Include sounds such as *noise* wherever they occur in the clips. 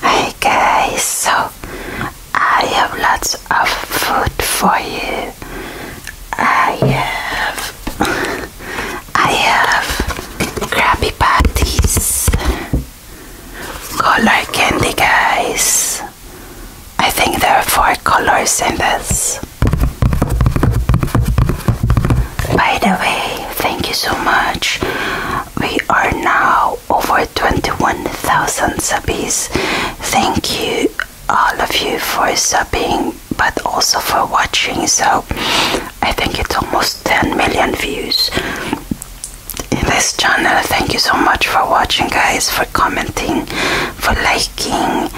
Hey guys, so I have lots of food for you. I have *laughs* I have Krabby Patties, color candy guys. I think there are four colors in this. By the way, thank you so much. We are now over 21,000 subs. Thank you, all of you, for subbing but also for watching. So I think it's almost 10 million views in this channel. Thank you so much for watching, guys, for commenting, for liking,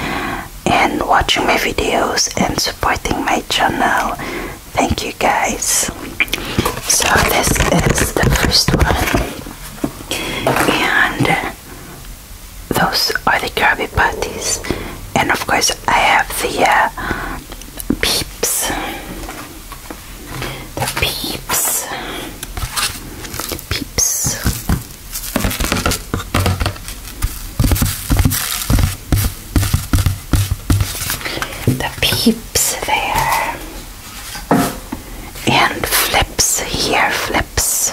and watching my videos and supporting my channel. Thank you guys. So this is the first one, and those are the Krabby Patties, and of course I have the uh, peeps, the peeps, the peeps the peeps there and flips here flips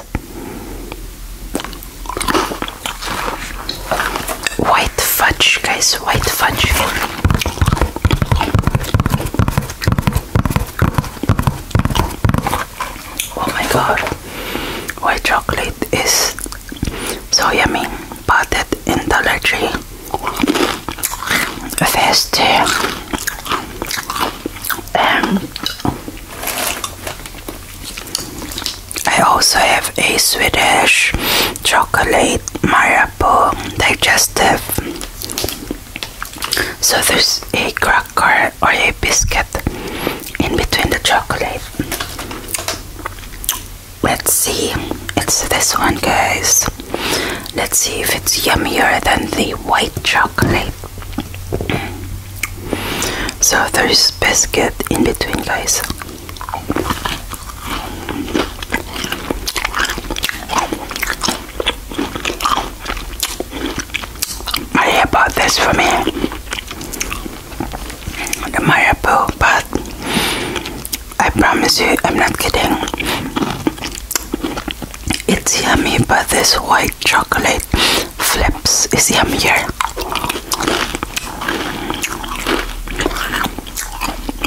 white fudge guys white fudge oh my god white chocolate is so yummy. Bought it in the Tree. Fest. And I also have a Swedish chocolate Marabou digestive. So there's a cracker or a biscuit in between the chocolate. Let's see. It's this one, guys. Let's see if it's yummier than the white chocolate. so there's biscuit in between, guys. I bought this for me the marabou, but I promise you, I'm not kidding. It's yummy, but this white chocolate flips is yummier.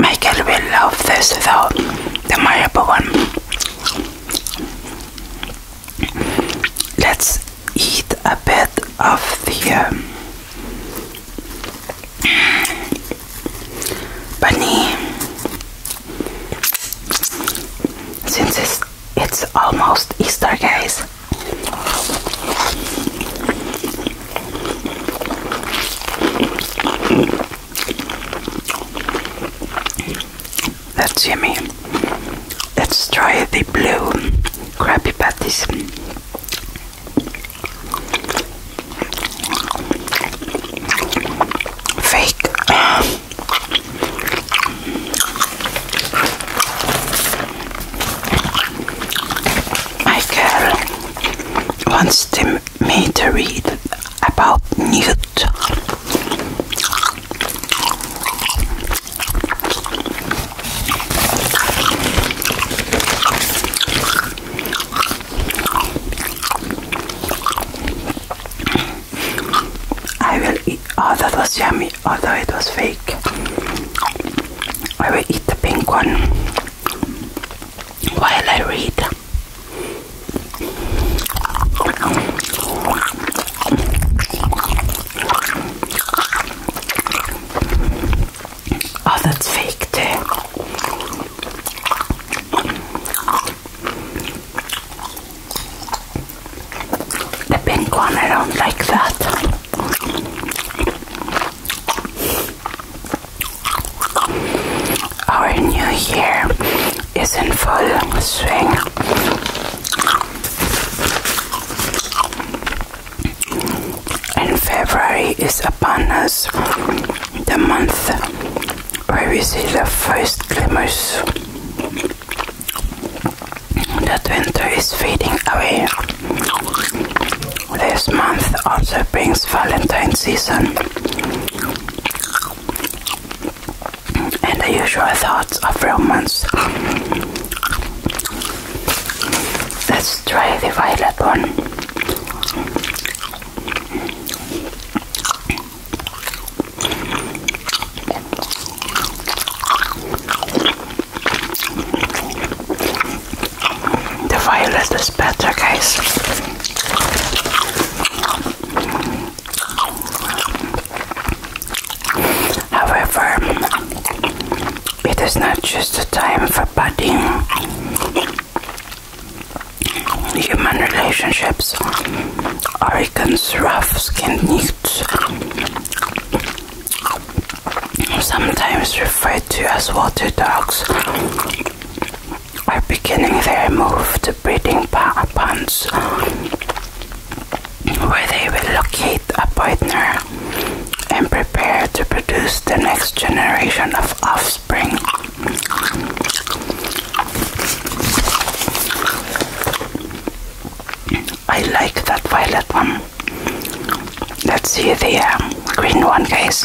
Michael will love this though, the marabou one. Let's eat a bit of the um, bunny since it's, it's almost Easter, guys. That's yummy. Let's try the blue Krabby Patties. Fake. My wants to, me to read about Newt. I will eat. Oh, that was yummy, although it was fake. I will eat the pink one while I read. Oh, that's fake too. The pink one, I don't like that. Our new year is in full swing. And February is upon us, the month where we see the first glimmers that winter is fading away. This month also brings Valentine's season and the usual thoughts of romance. Let's try the violet one. The violet is better, guys. However, it is not just a time for budding human relationships Oregon's rough skinned newts, sometimes referred to as water dogs, are beginning their move to breeding ponds where they will locate a partner and prepare to produce the next generation of offspring. I like that violet one. Let's see the um, green one, guys.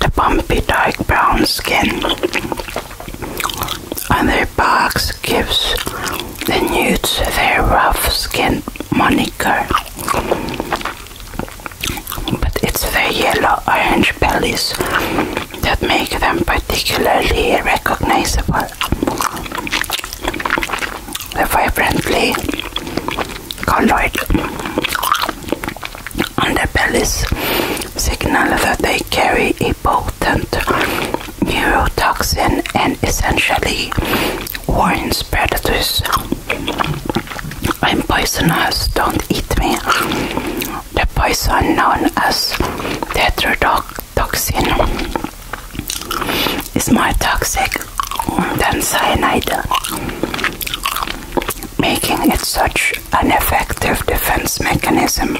the bumpy dark brown skin on their backs gives the nudes their rough skin moniker. But it's their yellow orange bellies that make them particularly recognizable. The vibrantly colored underbellies signal that they carry a potent neurotoxin and essentially warn predators I'm poisonous, don't eat me. The poison known as tetrodotoxin is more toxic than cyanide making it such an effective defense mechanism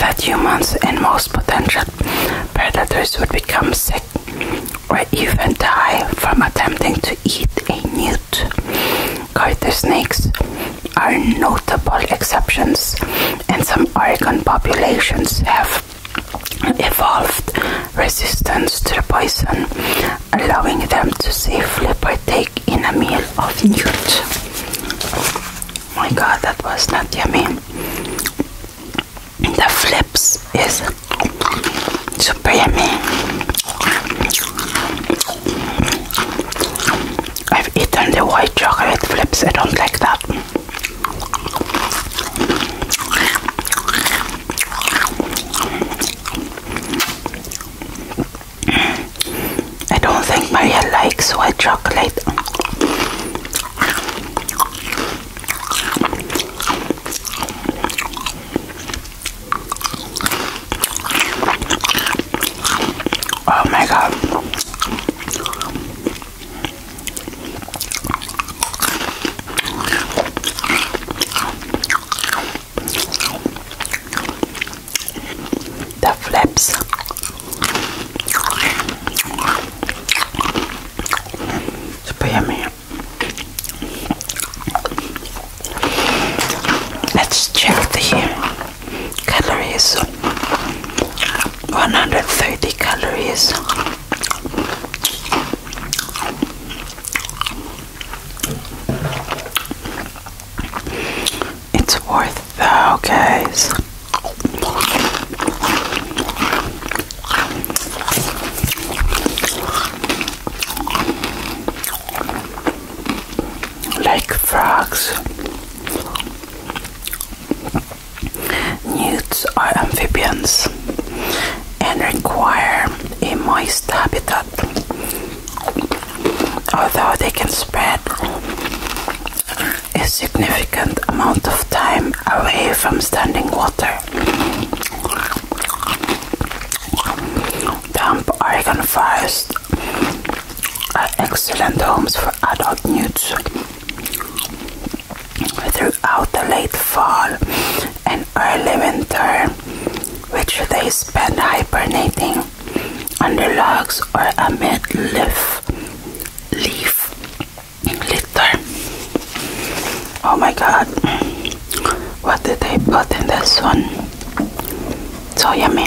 that humans and most potential predators would become sick or even die from attempting to eat a newt. Garter snakes are notable exceptions, and some Oregon populations have evolved resistance to the poison, allowing them to safely partake in a meal of newt. My god, that was not yummy. The flips is super yummy. I've eaten the white chocolate flips, I don't like that. I don't think Maria likes white chocolate. Oh my god. The flaps. Super yummy. Let's check the calories. 130 calories. It's worth the guys. Like frogs. Newts are amphibians and require a moist habitat, although they can spread a significant amount of time away from standing water. Damp Oregon forests are excellent homes for adult newts throughout the late fall and early winter, which they spend hibernating under logs or amid leaf, leaf litter. Oh my god, what did they put in this one? So yummy.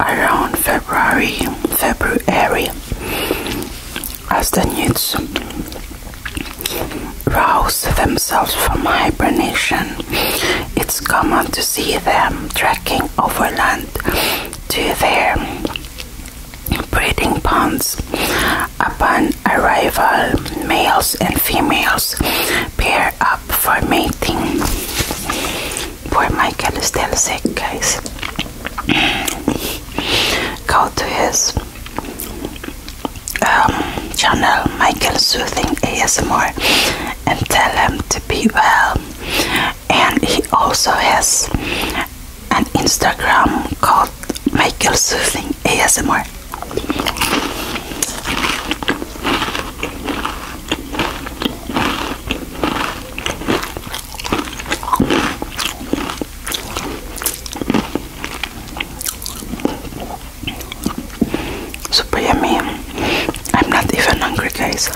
around February, February, as the newts rouse themselves from hibernation, it's common to see them trekking overland to their breeding ponds. Upon arrival, males and females pair they're up for mating. Poor Michael is still sick, guys. Go to his um, channel, Michael Soothing ASMR, and tell him to be well. And he also has an Instagram called Michael Soothing ASMR. Super yummy. I'm not even hungry, guys.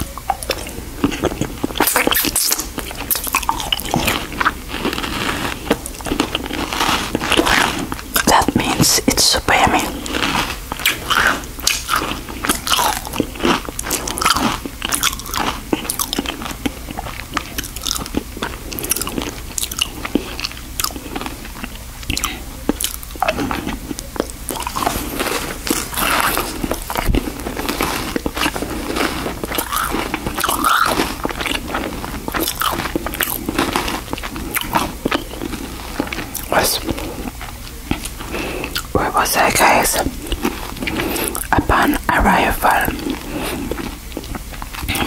That means it's super yummy was where was that, guys upon arrival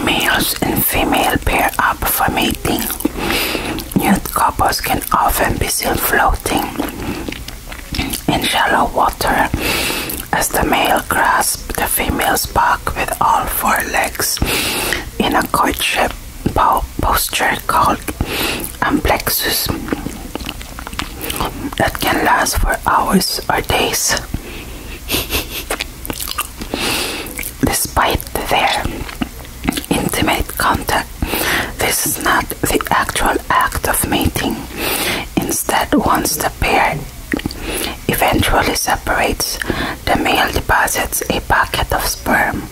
males and female pair up for mating Youth couples can often be seen floating in shallow water as the male grasps the female's back with all four legs in a courtship posture called amplexus um, that can last for hours or days. *laughs* Despite their intimate contact, this is not the actual act of mating. Instead, once the pair eventually separates the male deposits a packet of sperm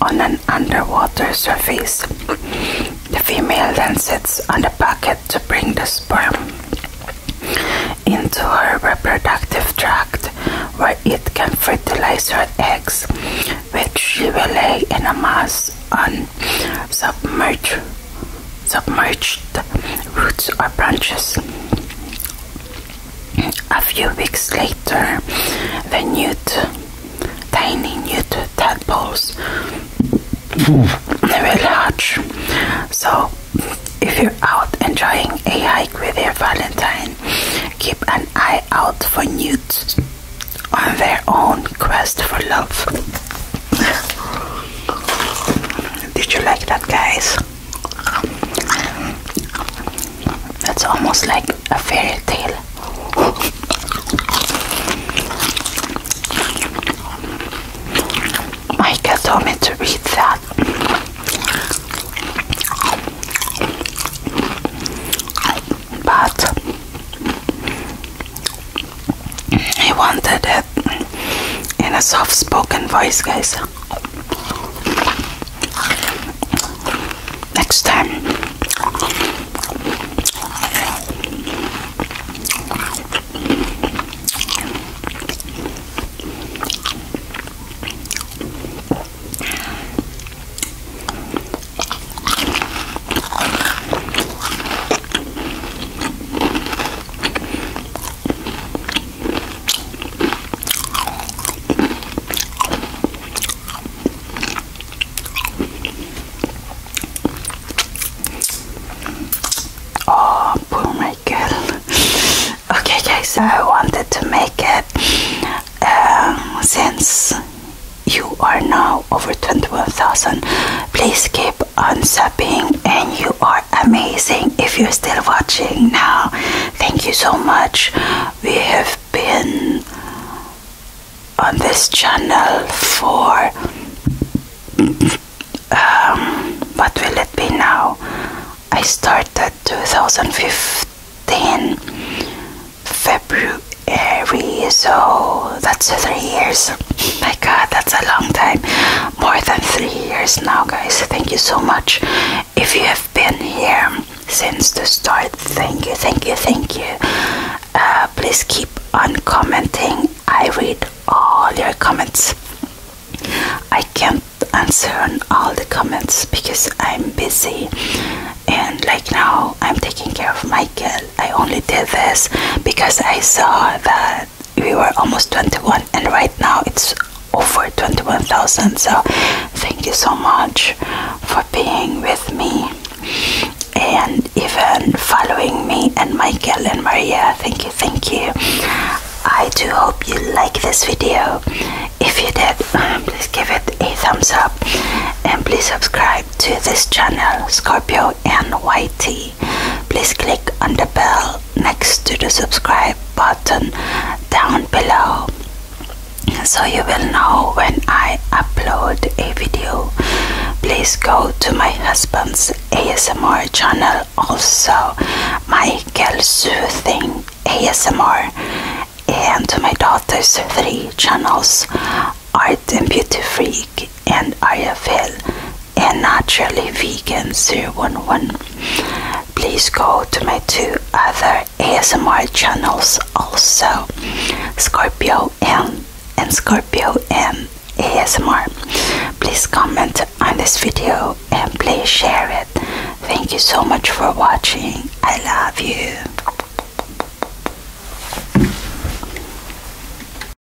on an underwater surface. The female then sits on the packet to bring the sperm into her reproductive tract where it can fertilize her eggs, which she will lay in a mass on submerged, submerged roots or branches. A few weeks later, the newt, tiny newt tadpoles were large. So, if you're out enjoying a hike with your Valentine, keep an eye out for newts on their own quest for love. Did you like that, guys? That's almost like a fairy tale. Micah told me to read that. But he wanted it in a soft spoken voice, guys. Next time, Oh, poor my *laughs* okay, guys, I wanted to make it um, since you are now over 21,000. Please keep on and you are amazing if you're still watching now thank you so much we have been on this channel for um, what will it be now I started 2015 February so that's three years my god, that's a long time. More than three years now, guys. Thank you so much. If you have been here since the start, thank you, thank you, thank you. Uh, please keep on commenting. I read all your comments. I can't answer on all the comments because I'm busy and like now I'm taking care of my kid. I only did this because I saw that we were almost 21 and right now it's over 21,000 so thank you so much for being with me and even following me and Michael and Maria thank you thank you I do hope you like this video if you did please give it a thumbs up and please subscribe to this channel Scorpio and YT, Please click on the bell next to the subscribe button down below so you will know when I upload a video. Please go to my husband's ASMR channel also, Michael Soothing ASMR, and my daughter's three channels, Art and Beauty Free League and IFL and naturally vegan zero one one. Please go to my two other ASMR channels also Scorpio M and Scorpio M ASMR. Please comment on this video and please share it. Thank you so much for watching. I love you.